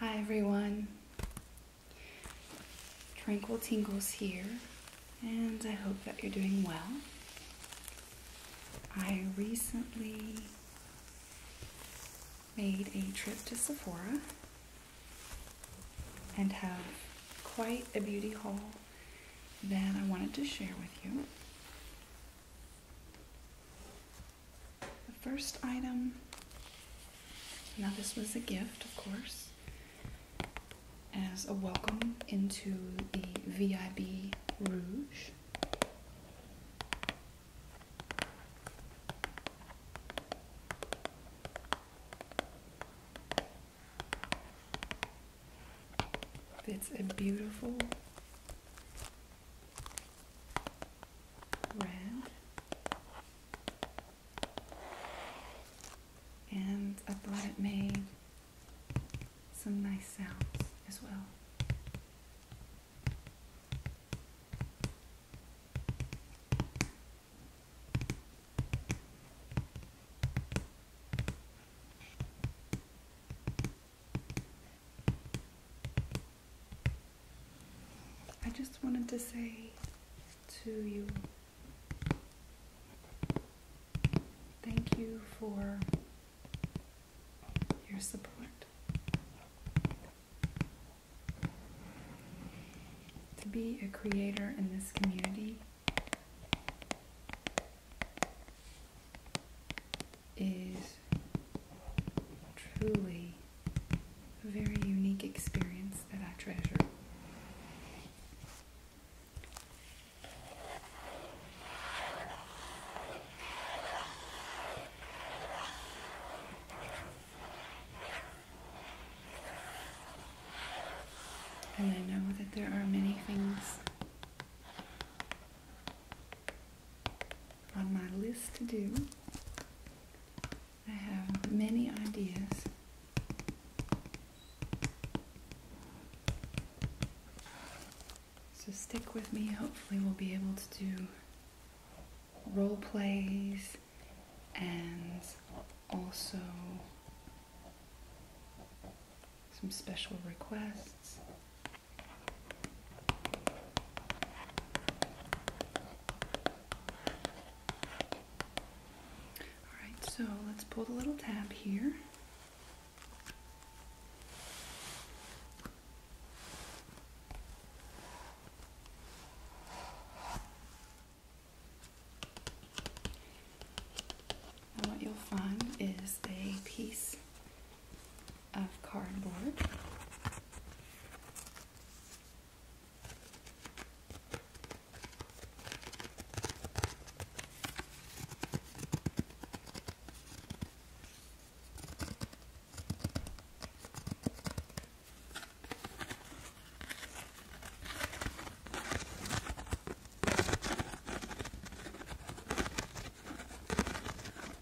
Hi everyone. Tranquil Tingles here, and I hope that you're doing well. I recently made a trip to Sephora and have quite a beauty haul that I wanted to share with you. The first item, now this was a gift, of course, as a welcome into the VIB Rouge. It's a beautiful red, and I thought it made some nice sounds as well. I just wanted to say to you thank you for your support. To be a creator in this community is truly a very unique experience that I treasure. And I know that there are many things on my list to do. I have many ideas. So stick with me. Hopefully, we'll be able to do role plays and also some special requests. Alright, so let's pull the little tab here. And what you'll find is a piece of cardboard.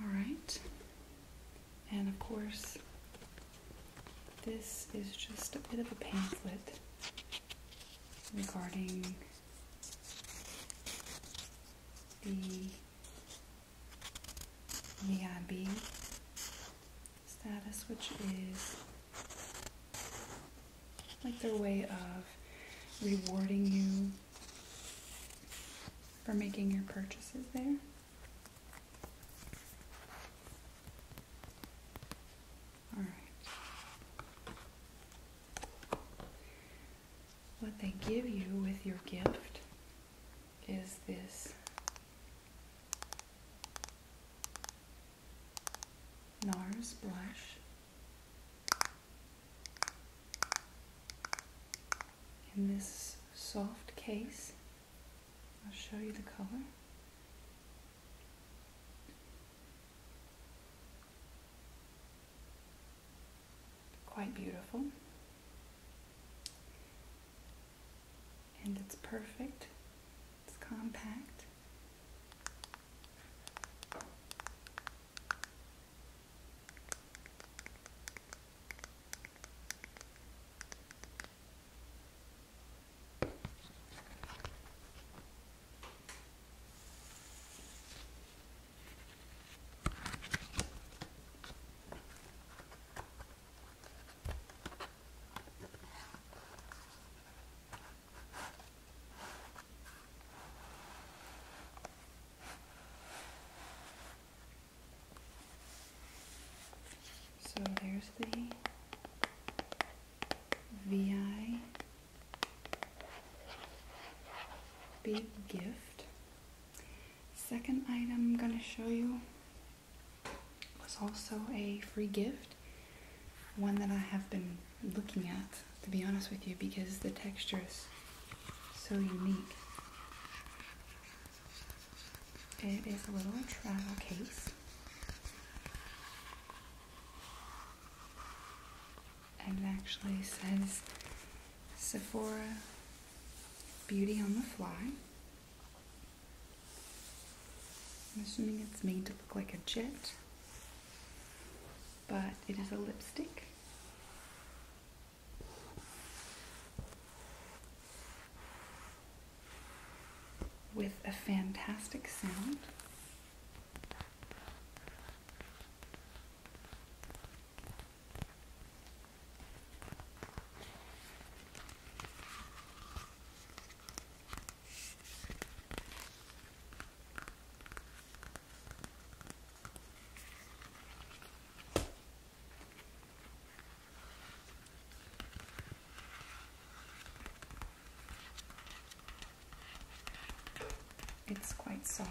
All right, and of course, this is just a bit of a pamphlet regarding the VIB status, which is like their way of rewarding you for making your purchases there. All right. What they give you with your gift is this NARS blush. In this soft case, I'll show you the color. Quite beautiful and it's perfect. It's compact. So there's the VI big gift. Second item I'm going to show you was also a free gift, one that I have been looking at, to be honest with you, because the texture is so unique. It is a little travel case. And it actually says Sephora Beauty on the Fly. I'm assuming it's made to look like a jet, but it is a lipstick. With a fantastic sound. It's quite soft.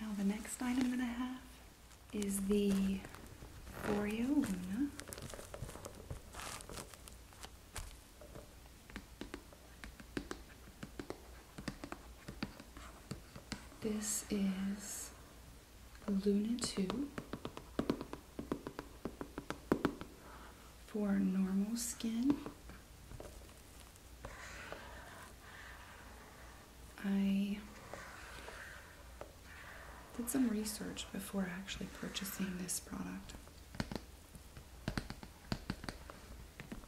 Now the next item that I have is the Luna. This is Luna 2 for normal skin. I did some research before actually purchasing this product.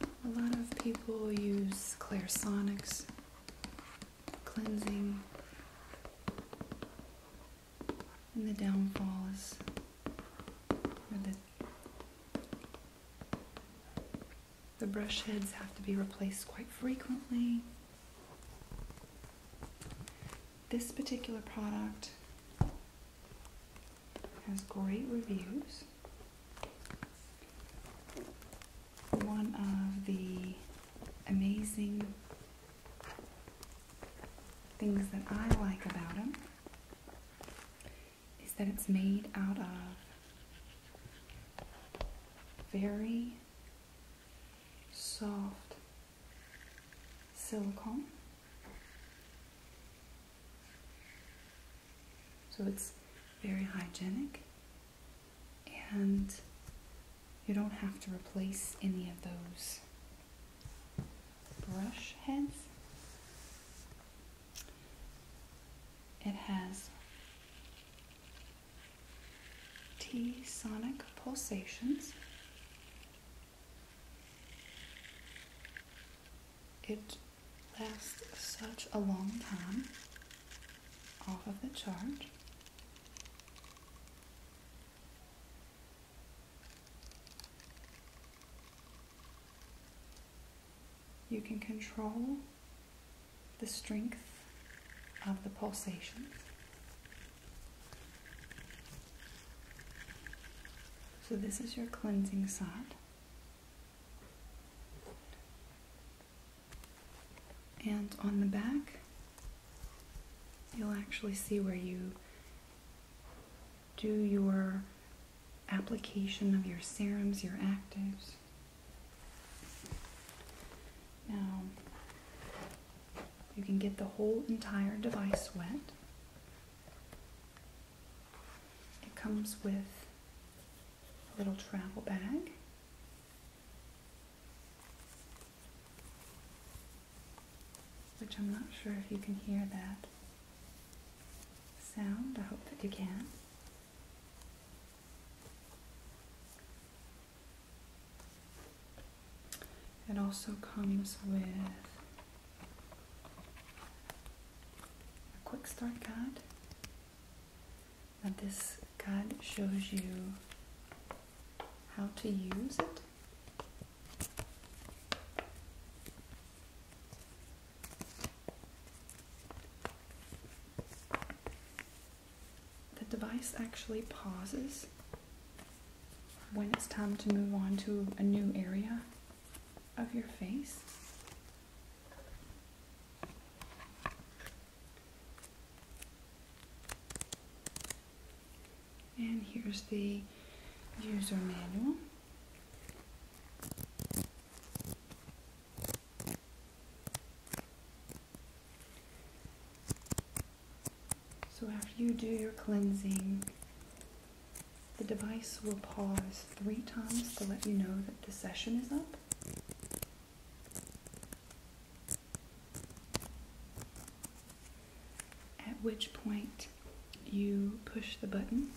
A lot of people use Clarisonics cleansing and the downfall is where the brush heads have to be replaced quite frequently. This particular product has great reviews. One of the amazing Things that I like about them is that it's made out of very soft silicone. So it's very hygienic and you don't have to replace any of those brush heads. It has T sonic pulsations. It lasts such a long time off of the charge. You can control the strength of the pulsations. So this is your cleansing side. And on the back, you'll actually see where you do your application of your serums, your actives. Now, you can get the whole entire device wet. It comes with a little travel bag. Which I'm not sure if you can hear that sound. I hope that you can. It also comes with a quick start guide. Now this guide shows you how to use it the device actually pauses when it's time to move on to a new area of your face. And here's the user manual. So after you do your cleansing, the device will pause three times to let you know that the session is up. At which point you push the button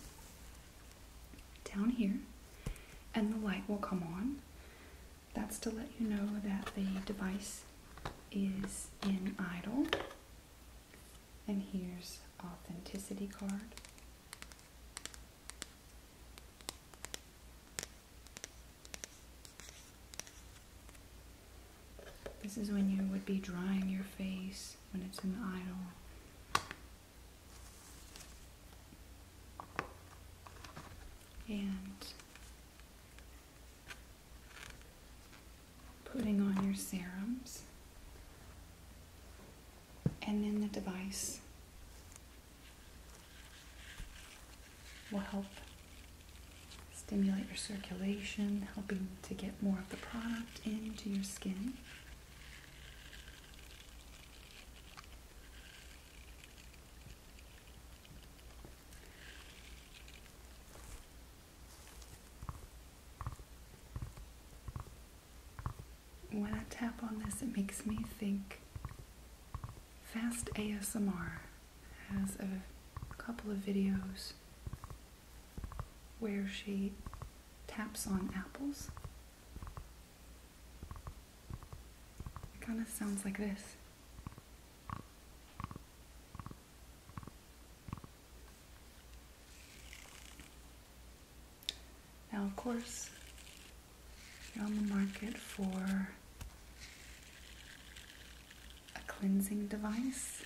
down here and the light will come on. That's to let you know that the device is in idle. And here's authenticity card. This is when you would be drying your face when it's in idle. And putting on your serums. And then the device will help stimulate your circulation, helping to get more of the product into your skin. When I tap on this, it makes me think Fast ASMR has a couple of videos where she taps on apples. It kind of sounds like this. Now, of course, you're on the market for a cleansing device.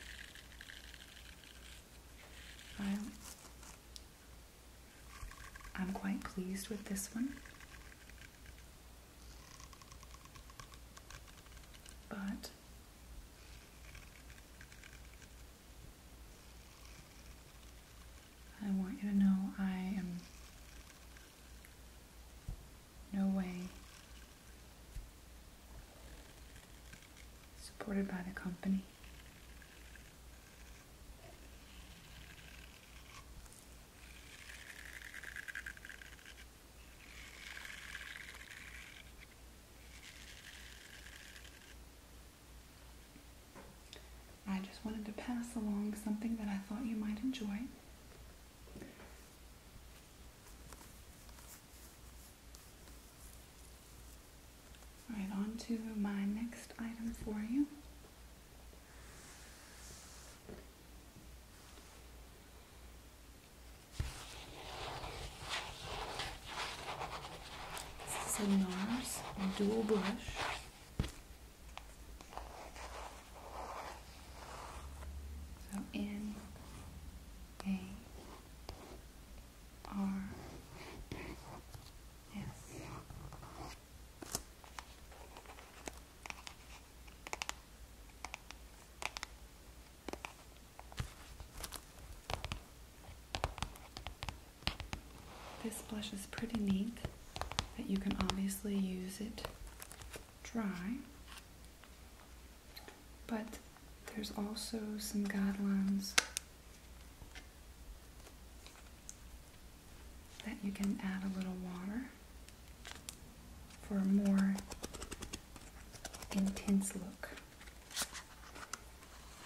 I'm quite pleased with this one. But I want you to know I am no way. Supported by the company. I just wanted to pass along something that I thought you might enjoy. Right on to my next item for you. This is a NARS dual brush. So in a R S This blush is pretty neat that you can obviously use it dry but there's also some guidelines that you can add a little water for a more intense look.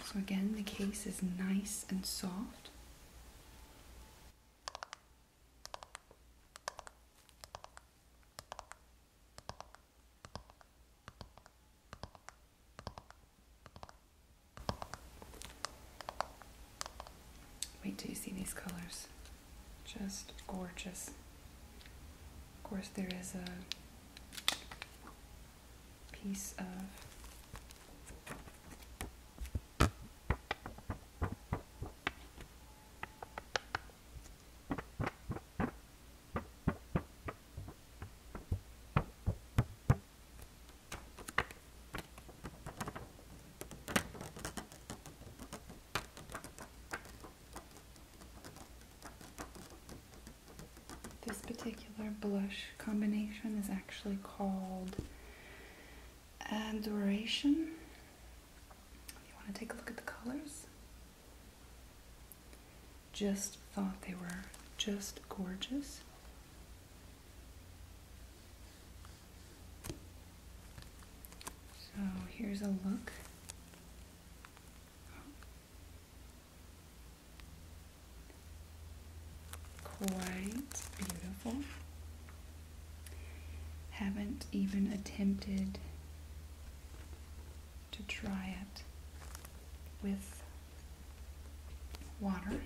So again, the case is nice and soft. Wait till you see these colors. Just gorgeous. Of course, there is a piece of this particular blush combination is actually called Adoration. If you want to take a look at the colors, just thought they were just gorgeous. So here's a look. Quite beautiful. Haven't even attempted to try it with water.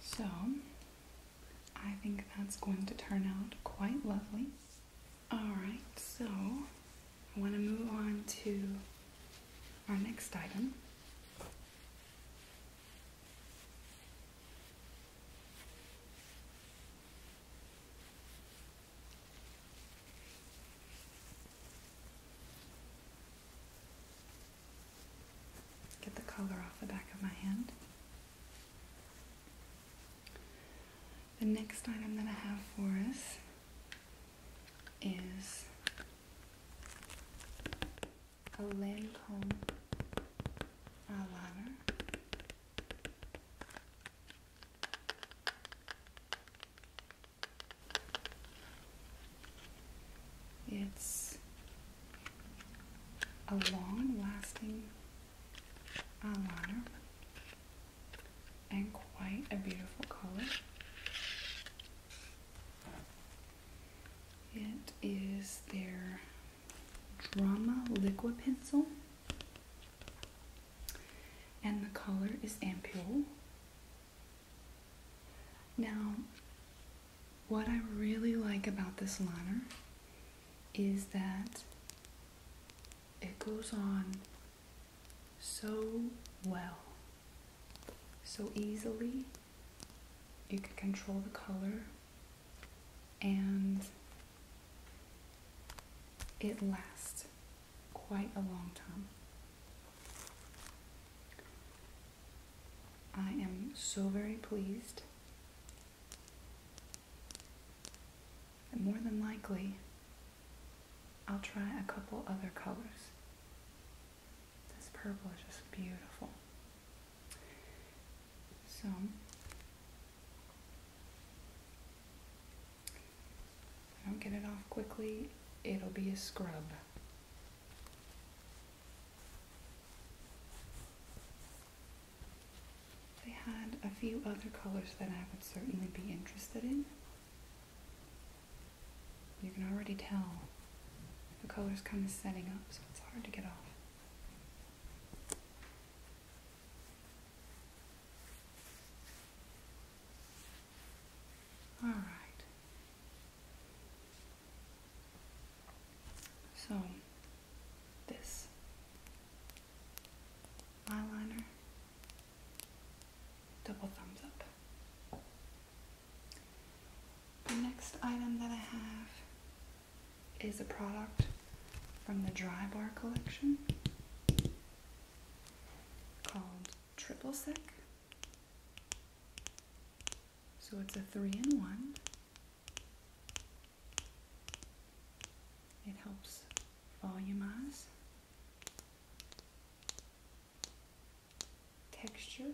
So, I think that's going to turn out quite lovely. Alright, so I want to move on to our next item. Get the collar off the back of my hand. The next item that I have for us is a Lancome eyeliner. It's a long lasting eyeliner and quite a beautiful color. It is their Drama Liquid Pencil and the color is ampule. Now, what I really like about this liner is that it goes on so well, so easily. You can control the color and it lasts quite a long time. I am so very pleased and more than likely I'll try a couple other colors. This purple is just beautiful. So if I don't get it off quickly, it'll be a scrub. They had a few other colors that I would certainly be interested in. You can already tell the color's kind of setting up, so it's hard to get off. All right. So, this eyeliner, double thumbs up. The next item that I have is a product from the Dry Bar collection called Triple Sec. So it's a three in one. It helps volumize, texture,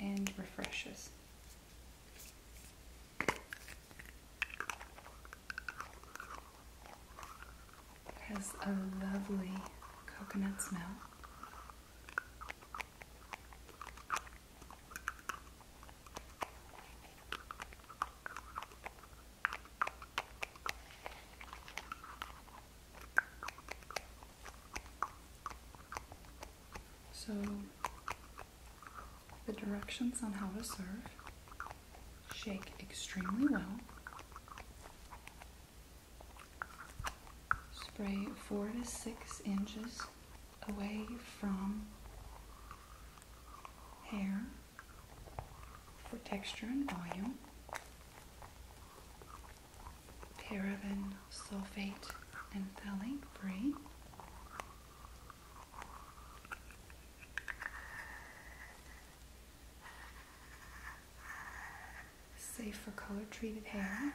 and refreshes. It has a lovely coconut smell. So the directions on how to serve. Shake extremely well. Spray four to six inches away from hair for texture and volume. Paraben, sulfate, and phthalate free. Safe for color treated hair.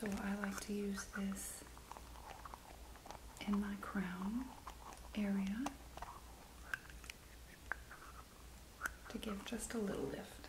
So I like to use this in my crown area to give just a little lift.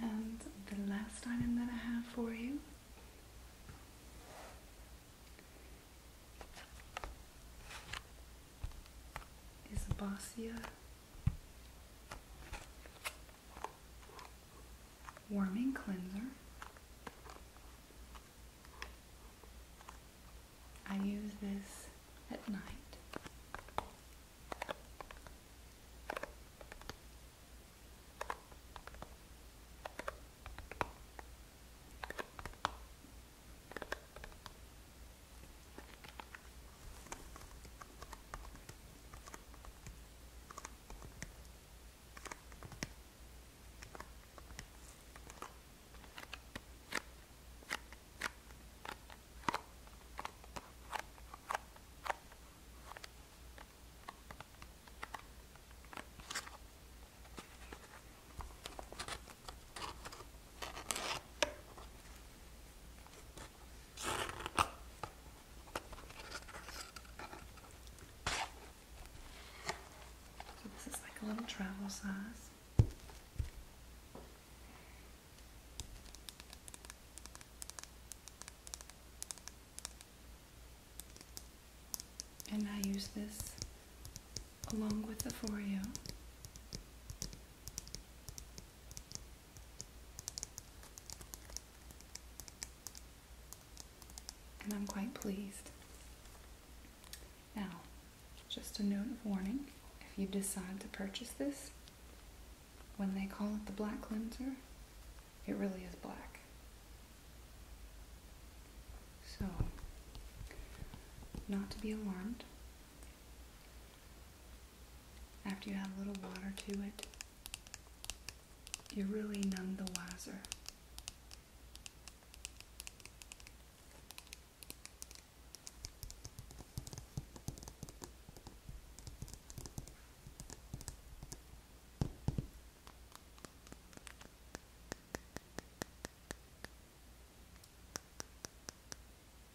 And the last item that I have for you is a Bossia warming cleanser. I use this at night. So this is like a little travel size. And I use this along with the Foreo. And I'm quite pleased. Now, just a note of warning if you decide to purchase this, when they call it the black cleanser, it really is black. So, not to be alarmed. After you add a little water to it, you're really none the wiser.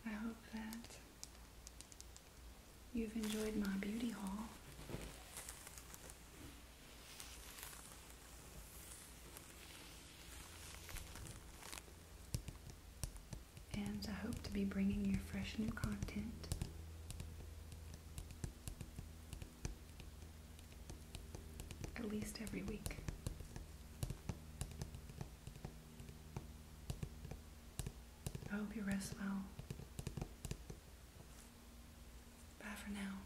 I hope that you've enjoyed my beauty haul and I hope to be bringing you fresh new content. At least every week. I hope you rest well. Bye for now.